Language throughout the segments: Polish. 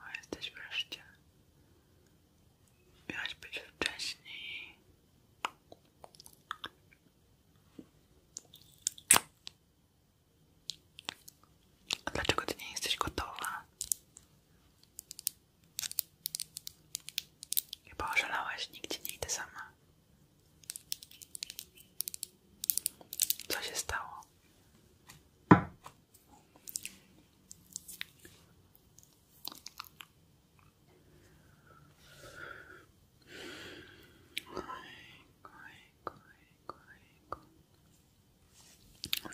O, jesteś wreszcie. Miałaś być wcześniej. A dlaczego ty nie jesteś gotowa? Chyba oszalałaś, nigdzie nie idę sama. Co się stało?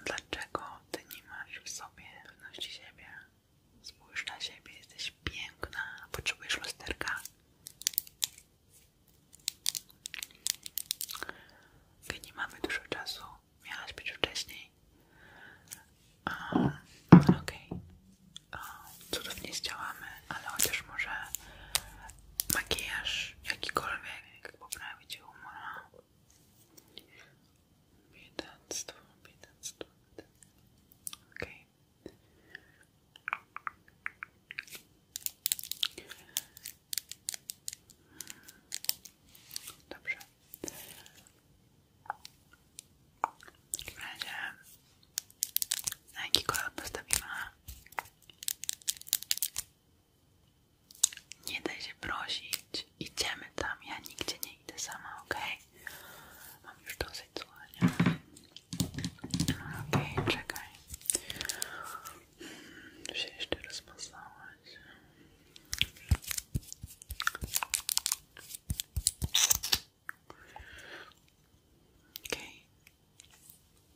Dlaczego ty nie masz w sobie pewności siebie? Spójrz na siebie, jesteś piękna. Potrzebujesz lusterka? Nie mamy dużo czasu. Miałaś być wcześniej. Um, Okej. Okay. Um, cudów nie zdziałamy, ale chociaż może makijaż jakikolwiek poprawi Ci humor. Biedactwo, biedactwo, biedactwo. Okay. Dobrze. W takim razie na jaki postawimy? Nie da się prosić. Idziemy tam. Ja nigdzie nie idę sama, ok? Mam już to słuchania. No, okej, czekaj. Tu się jeszcze rozmazałaś. Okej.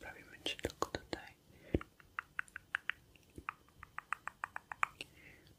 Okay. Robimy ci tylko tutaj.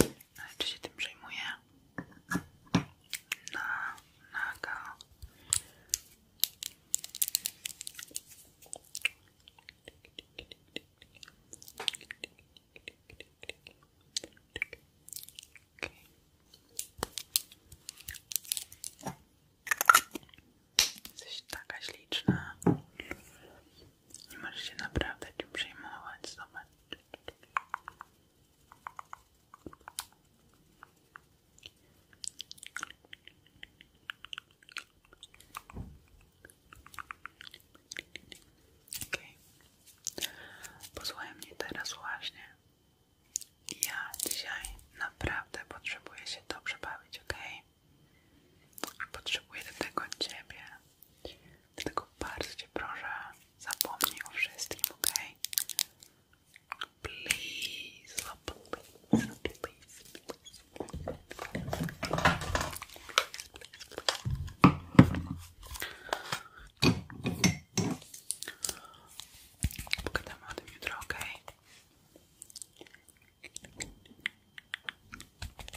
Ale no, czy się tym przejmuję? Na, naga. Okay. Jesteś taka śliczna. Nie możesz się naprawdę tym przejmować. Zobacz. Okej. Okay. teraz właśnie. Ja dzisiaj naprawdę potrzebuję się dobrze bawić, okej? Okay? Potrzebuję do tego ciebie. Dlatego bardzo Cię proszę, zapomnij o wszystkim, ok? Please, please, please, please, Pogadamy o tym jutro, ok?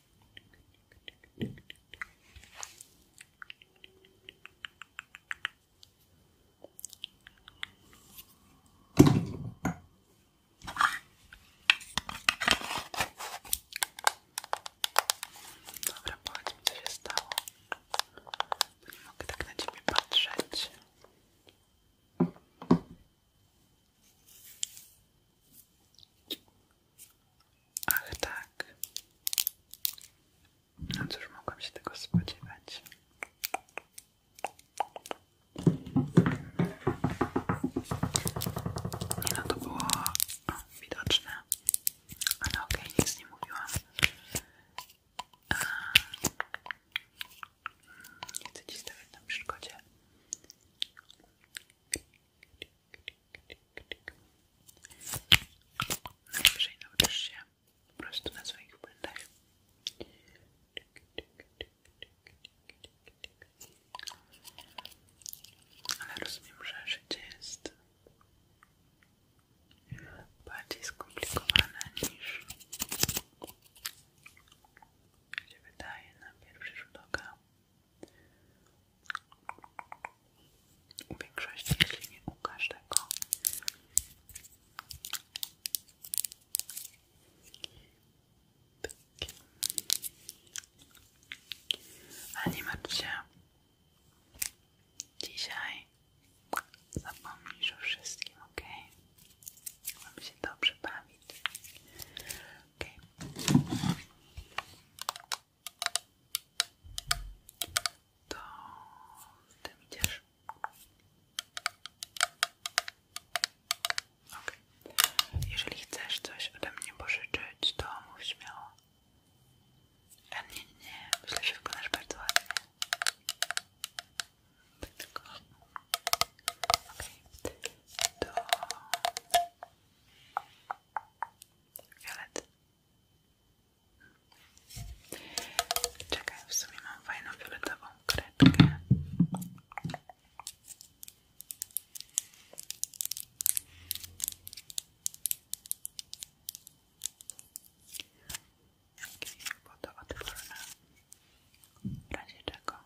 Dobra, powiedz mi co się stało, bo nie mogę tak na ciebie patrzeć. Ach tak. No cóż, mogłam się tego spodziewać. Nie no, to było no, widoczne, ale ok, nic nie mówiłam. A, nie chcę ci stawiać na Najwyżej nauczysz się po prostu na swoich błędach. Ale rozumiem, że życie jest bardziej skomplikowana niż się wydaje na pierwszy rzut oka. U większości, jeśli nie u każdego. Ale nie martw się. Dzisiaj zapomnisz o wszystkim, ok? Mam się dobrze bawić lampy. To z tym idziesz. Okay. Jeżeli chcesz coś ode mnie pożyczyć, to mów śmiało. A e, nie, nie, myślę, że wykonasz bardzo ładnie. Tak tylko Okay. Do fiolet. Czekaj, w sumie mam fajną fioletową kredkę. Jakieś wodoodporne, w razie czego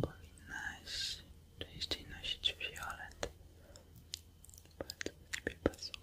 Powinnaś częściej nosić fiolet. Bardzo do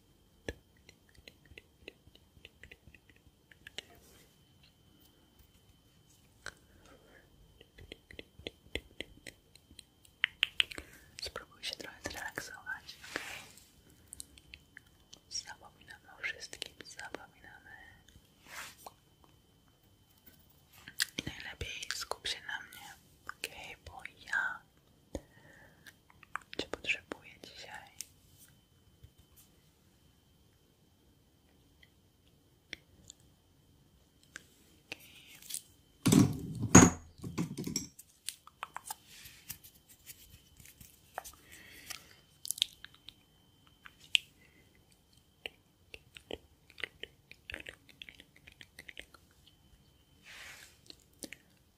Spróbuj się trochę zrelaksować, Zapominamy o wszystkim, zapominamy. najlepiej skup się na mnie, okej, bo ja czy potrzebuję dzisiaj?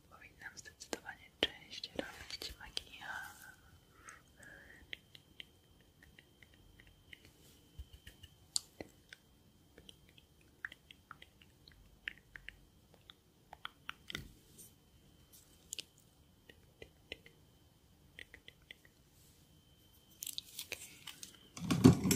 Powinnam zdecydowanie częściej robić makijaż. Okay.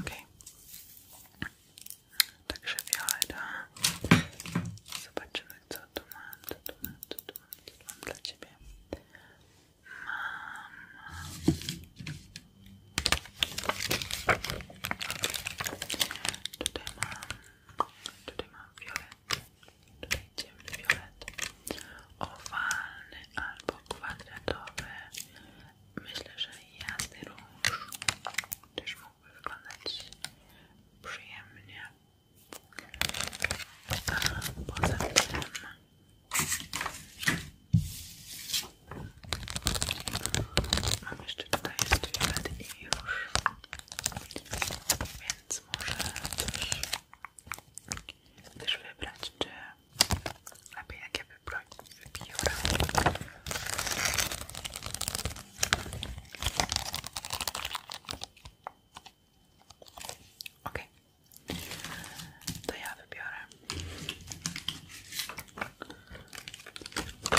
Okay. Także Violeta, zobaczymy co tu mam, co tu mam, co tu mam, co tu mam dla Ciebie. Mam... Tutaj mam... Tutaj mam wiolę tutaj ciemny fiolet, owalny albo kwadratowy. Myślę, że jasny róż też mógłby wyglądać przyjemnie. A poza tym Mam jeszcze tutaj jest fiolet i róż. Więc więc może też, też wybrać, czy lepiej jak ja wybiorę. Ok, to ja wybiorę. Okay.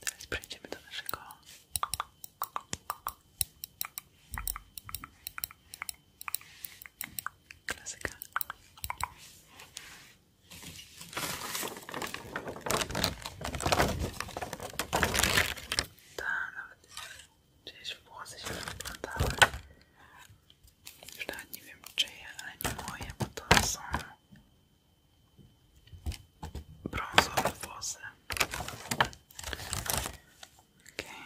Teraz przejdziemy do naszego klasyka. Tak, nawet gdzieś włosy się wyplątały. Już nawet nie wiem czyje, ale nie moje, bo to są brązowe włosy. Okay.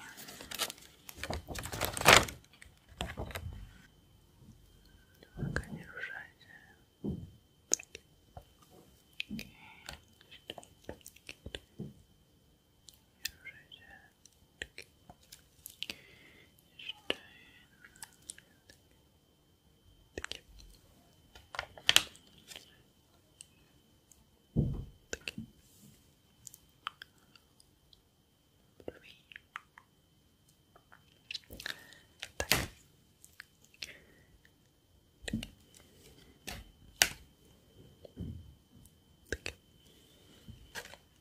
Uwaga, nie ruszaj się. Okay. Thank you. Thank you. Tack.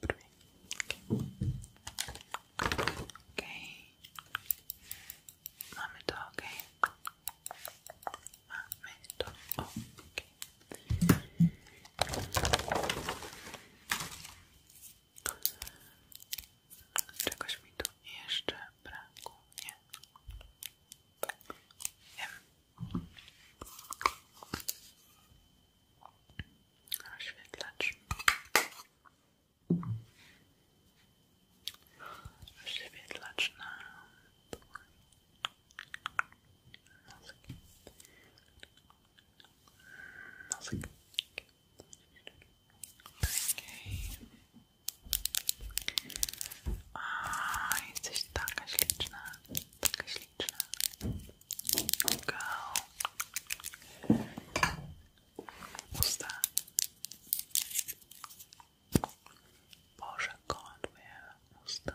Perfect. Okay. okay. ok. Mamy to, ok. Czegoś mi tu jeszcze brakuje oświetlacz oświetlacz na nosek nosek okay. a jesteś taka śliczna taka śliczna feature. Girl. What's that? Porsche Conware. What's that?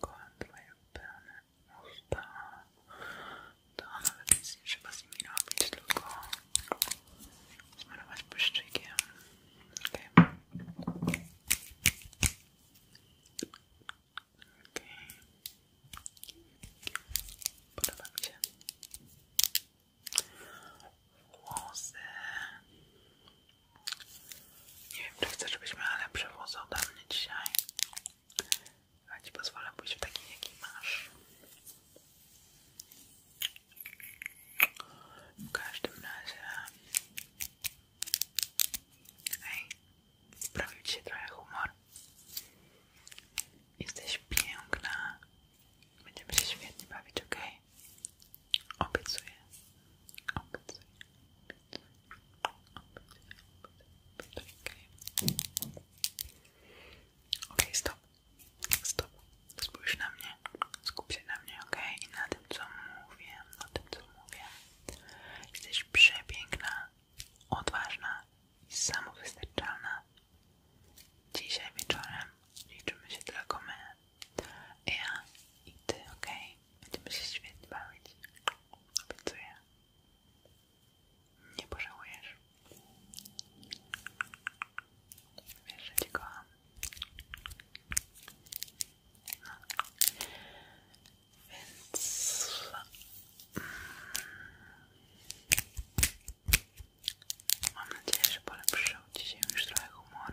Kocham twoje pełne usta. To nawet nic nie trzeba z nimi robić, tylko smarować błyszczykiem. Okay. Okay. Podoba mi się. Włosy. Nie wiem, czy chcę, żebyś miała lepsze włosy ode mnie dzisiaj. Ja ci pozwolę pójść w taki, jaki masz. W każdym razie Ej, poprawił się trochę humor. Jesteś piękna. Będziemy się świetnie bawić, ok? Obiecuję. Obiecuję. Obiecuję. Obiecuję. Ok, stop. Stop. Spójrz na mnie. Skup się na mnie, ok? I na tym, co mówię. Na tym, co mówię. Jesteś przepiękna, odważna i samowystarczalna. Dzisiaj wieczorem liczymy się tylko my. Ja i ty, ok? Będziemy się świetnie Obiecuję. Nie pożałujesz. Wiesz, że cię kocham. Więc mm, mam nadzieję, że polepszył dzisiaj już trochę humor. OK.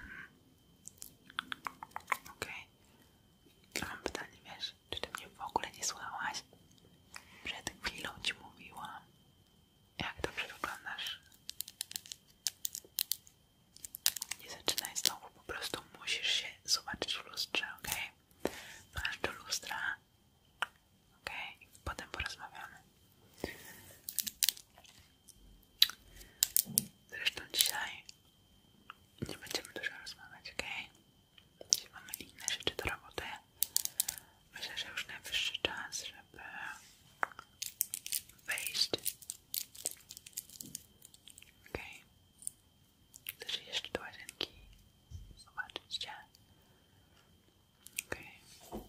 Mm. Okay. Mam pytanie, wiesz, czy ty mnie w ogóle nie słuchałaś? Przed chwilą ci mówiłam, jak dobrze wyglądasz. Nie zaczynaj znowu, po prostu musisz się zobaczyć w lustrze, ok? Masz do lustra, ok? I potem porozmawiamy. Zresztą dzisiaj nie będziemy dużo rozmawiać, ok? Dzisiaj mamy inne rzeczy do roboty. Myślę, że już najwyższy czas, że żeby wejść. Ok. Chcesz jeszcze do łazienki zobaczyć Cię? Okej. Okay.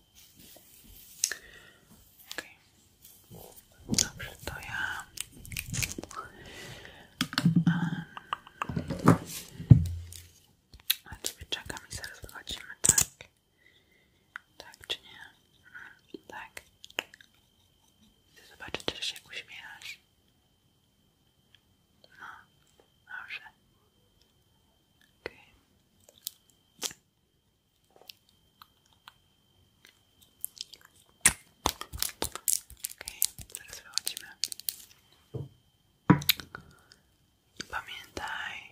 Okay. Dobrze, to ja... Um, a Ciebie czekam mi zaraz wychodzimy, tak? Tak czy nie? Tak. Chcę zobaczyć, czy się uśmiechasz. No, dobrze. Okay. teraz wychodzimy. Pamiętaj,